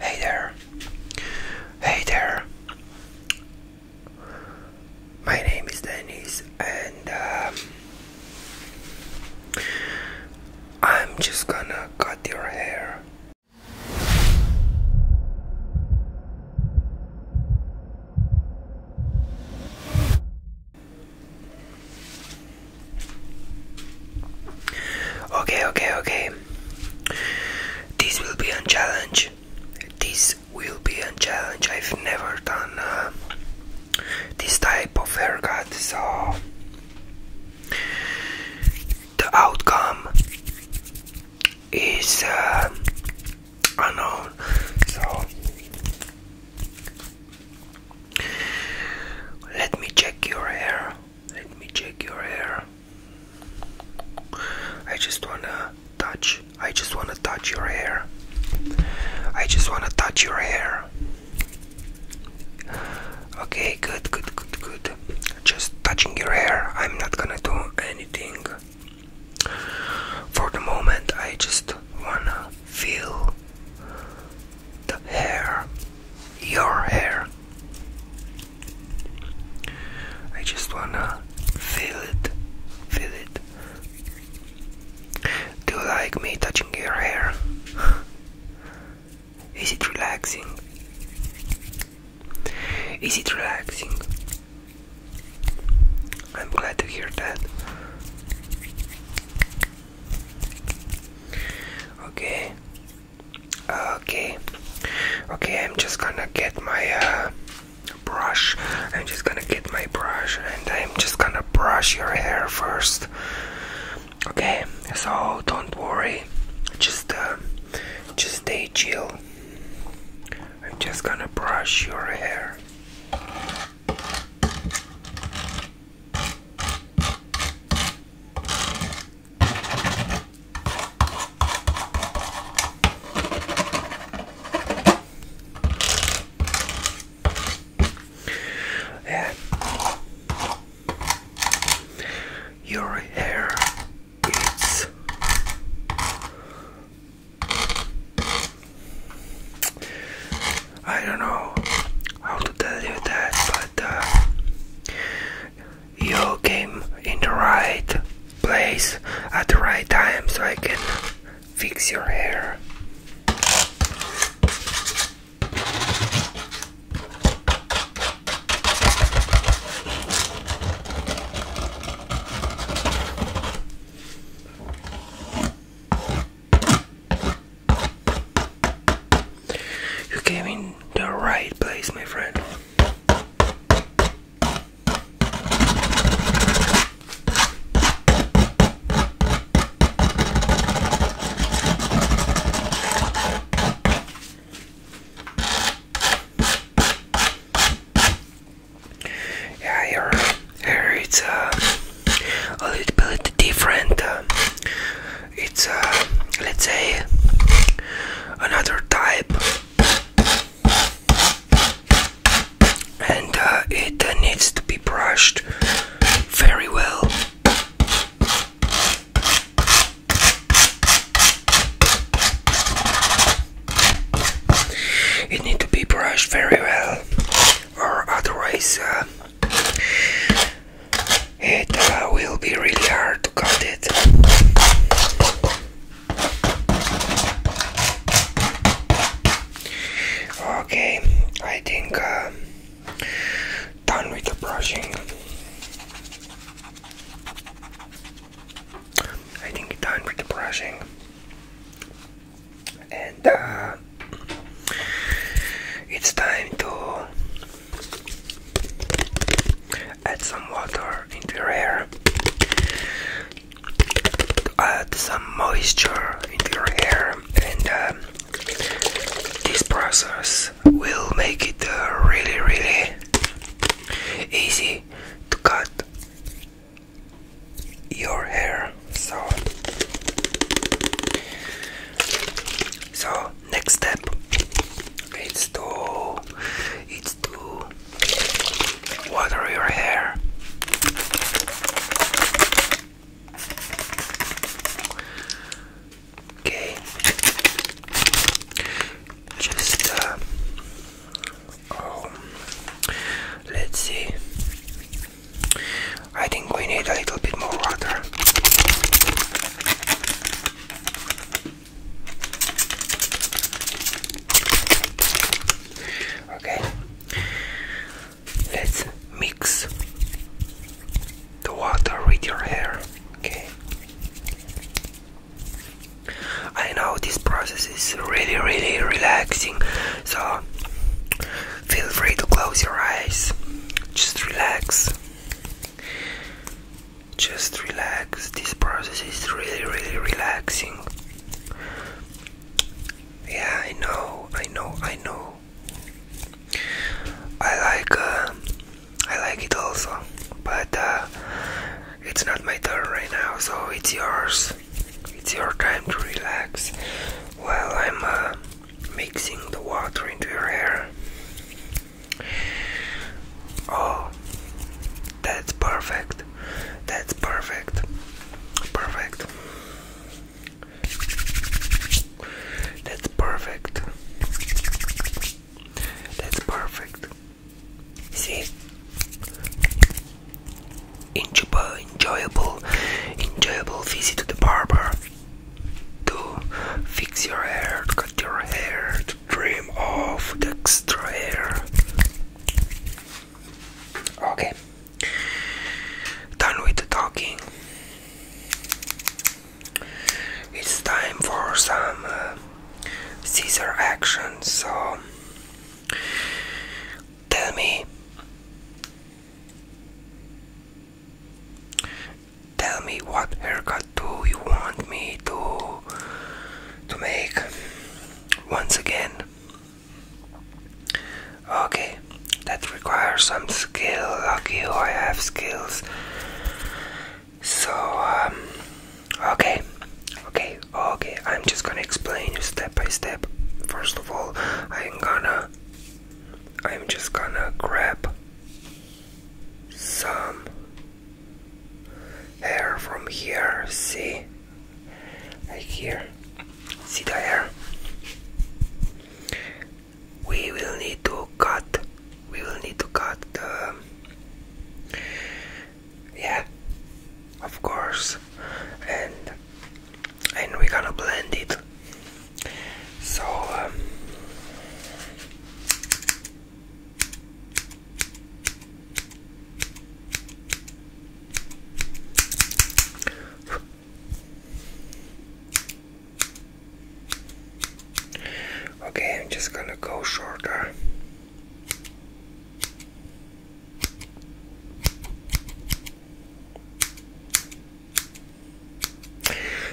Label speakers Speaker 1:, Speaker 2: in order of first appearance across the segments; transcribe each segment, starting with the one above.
Speaker 1: Hey there. Hey there. My name is Dennis, and um, I'm just gonna cut your hair. Okay, okay, okay. This will be a challenge. This will be a challenge. I've never done uh, this type of haircut, so the outcome is uh, unknown. So let me check your hair. Let me check your hair. I just wanna touch. I just wanna touch your hair. I just wanna touch your hair. Okay, good, good, good, good. Just touching your hair. I'm not gonna do anything. For the moment, I just wanna feel the hair, your hair. I just wanna feel it, feel it. Do you like me touching your hair? Is it relaxing? Is it relaxing? I'm glad to hear that. Okay. Okay. Okay, I'm just gonna get my uh, brush. I'm just gonna get my brush and I'm just gonna brush your hair first. Okay, so don't worry. Just uh, just stay chill. I'm just gonna brush your hair. Yeah. Your hair is I don't know how to tell you that, but uh, you came in the right place at the right time so I can fix your hair. You came in the right place, my friend. Yeah, your hair, it's uh a little bit different. Uh, it's uh, let's say another type, and uh, it uh, needs to be brushed very well. It needs to be brushed very well or otherwise uh, it uh, will be really hard to cut it. Okay, I think uh, done with the brushing. I think done with the brushing and uh, it's time to add some water into your hair add some moisture into your hair and uh, this process will make it uh, really really easy to cut your hair so so next step it's to it's to water your hair okay just uh, um, let's see I think we need a little bit more water. Okay, let's mix the water with your hair. Okay, I know this process it's really, really relaxing. So feel free to close your eyes, just relax. Just relax. This process is really, really relaxing. Yeah, I know, I know, I know. I like, uh, I like it also, but uh, it's not my turn right now, so it's yours. It's your time to relax while I'm uh, mixing the water into your hair. Oh, that's perfect. That's perfect. Perfect. That's perfect. That's perfect. See, enjoyable, enjoyable, enjoyable visit to the barber to fix your hair, to cut your hair, to trim off the extra hair. Okay, done with the talking. It's time for some uh, action. So Tell me. Tell me what haircut do you want me to to make once again. Okay, that requires some skill. Lucky I have skills. So um, okay. Okay, Okay, I'm just gonna explain you step by step. First of all, I'm gonna. I'm just gonna grab some hair from here. See? Like here. See the hair? We will need to cut. We will need to cut the yeah of course and and we're gonna blend it so um, Okay, I'm just gonna go shorter.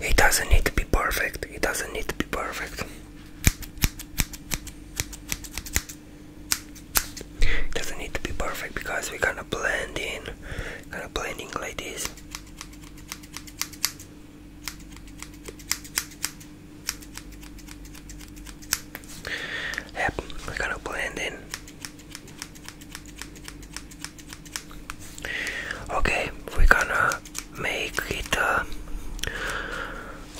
Speaker 1: It doesn't need to be perfect. It doesn't need to be perfect. doesn't need to be perfect because we're gonna blend in, gonna blending like this. Yep, we're gonna blend in. Okay, we're gonna make it uh,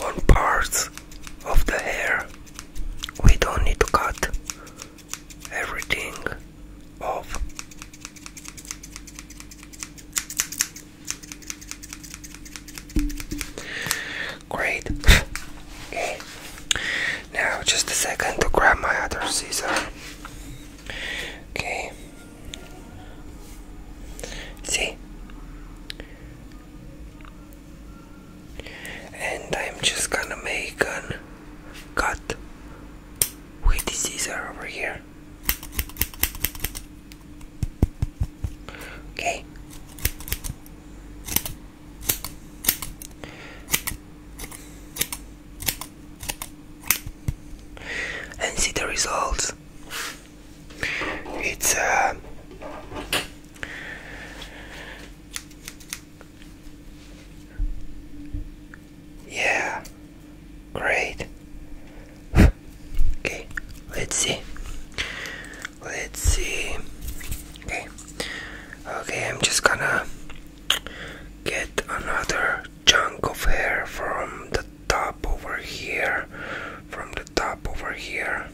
Speaker 1: on parts of the hair. We don't need to cut everything off. Great. okay. Now, just a second to grab my other scissor. Okay. See? And I'm just gonna make a cut with the scissor over here. Okay. And see the results. It's uh, yeah, great. Okay, let's see. Let's see. Okay. Okay, I'm just gonna get another chunk of hair from the top over here. From the top over here.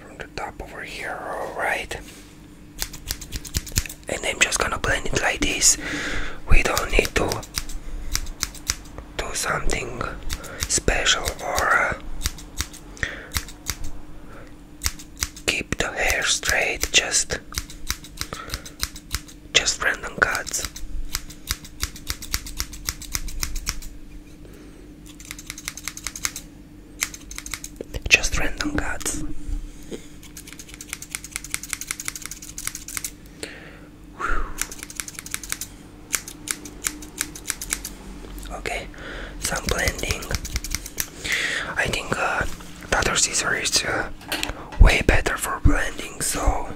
Speaker 1: From the top over here, alright. And I'm just gonna blend it like this. We don't need to do something special or uh, keep the hair straight just just random cards. just random cuts Okay, some blending. I think uh, the other scissor is uh, way better for blending, so.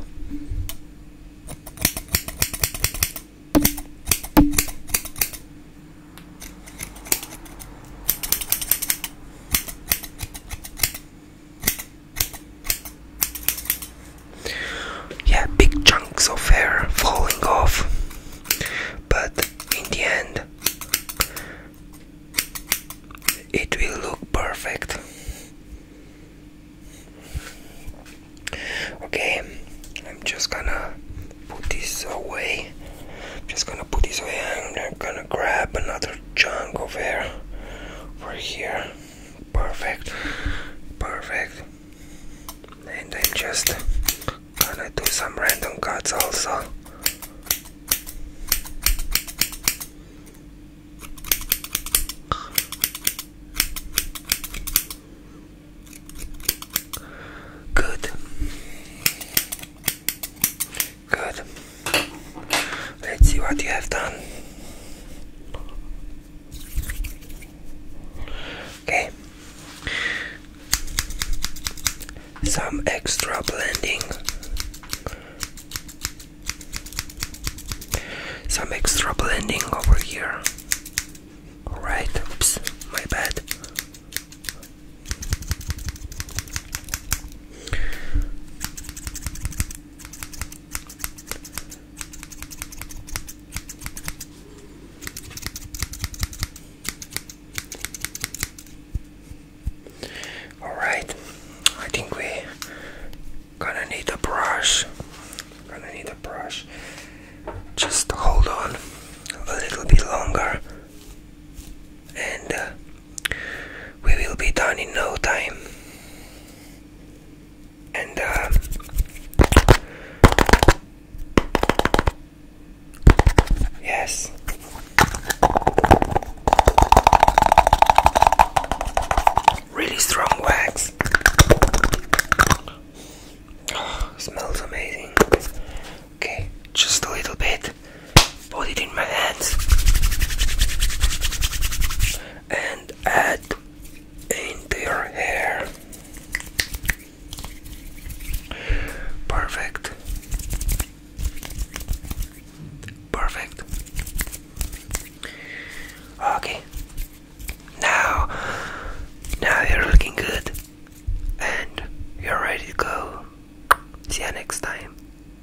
Speaker 1: Yeah, big chunks of hair falling off, but in the end, it will look perfect. Okay, I'm just gonna put this away. just gonna put this away I'm gonna grab another chunk of hair over here perfect perfect and I'm just gonna do some random cuts also Good. Good. Let's see what you have done. Okay. Some extra blending. Some extra blending over here. Alright, oops, my bad. Alright, I think we gonna need a brush. Gonna need a brush. Just hold on a little bit longer and uh, we will be done in no time. And uh, yes. Really strong wax. Oh, smells amazing. Okay, just a little bit put it in my hands and add into your hair. Perfect. Perfect. Okay. Now, now you're looking good and you're ready to go. See you next time.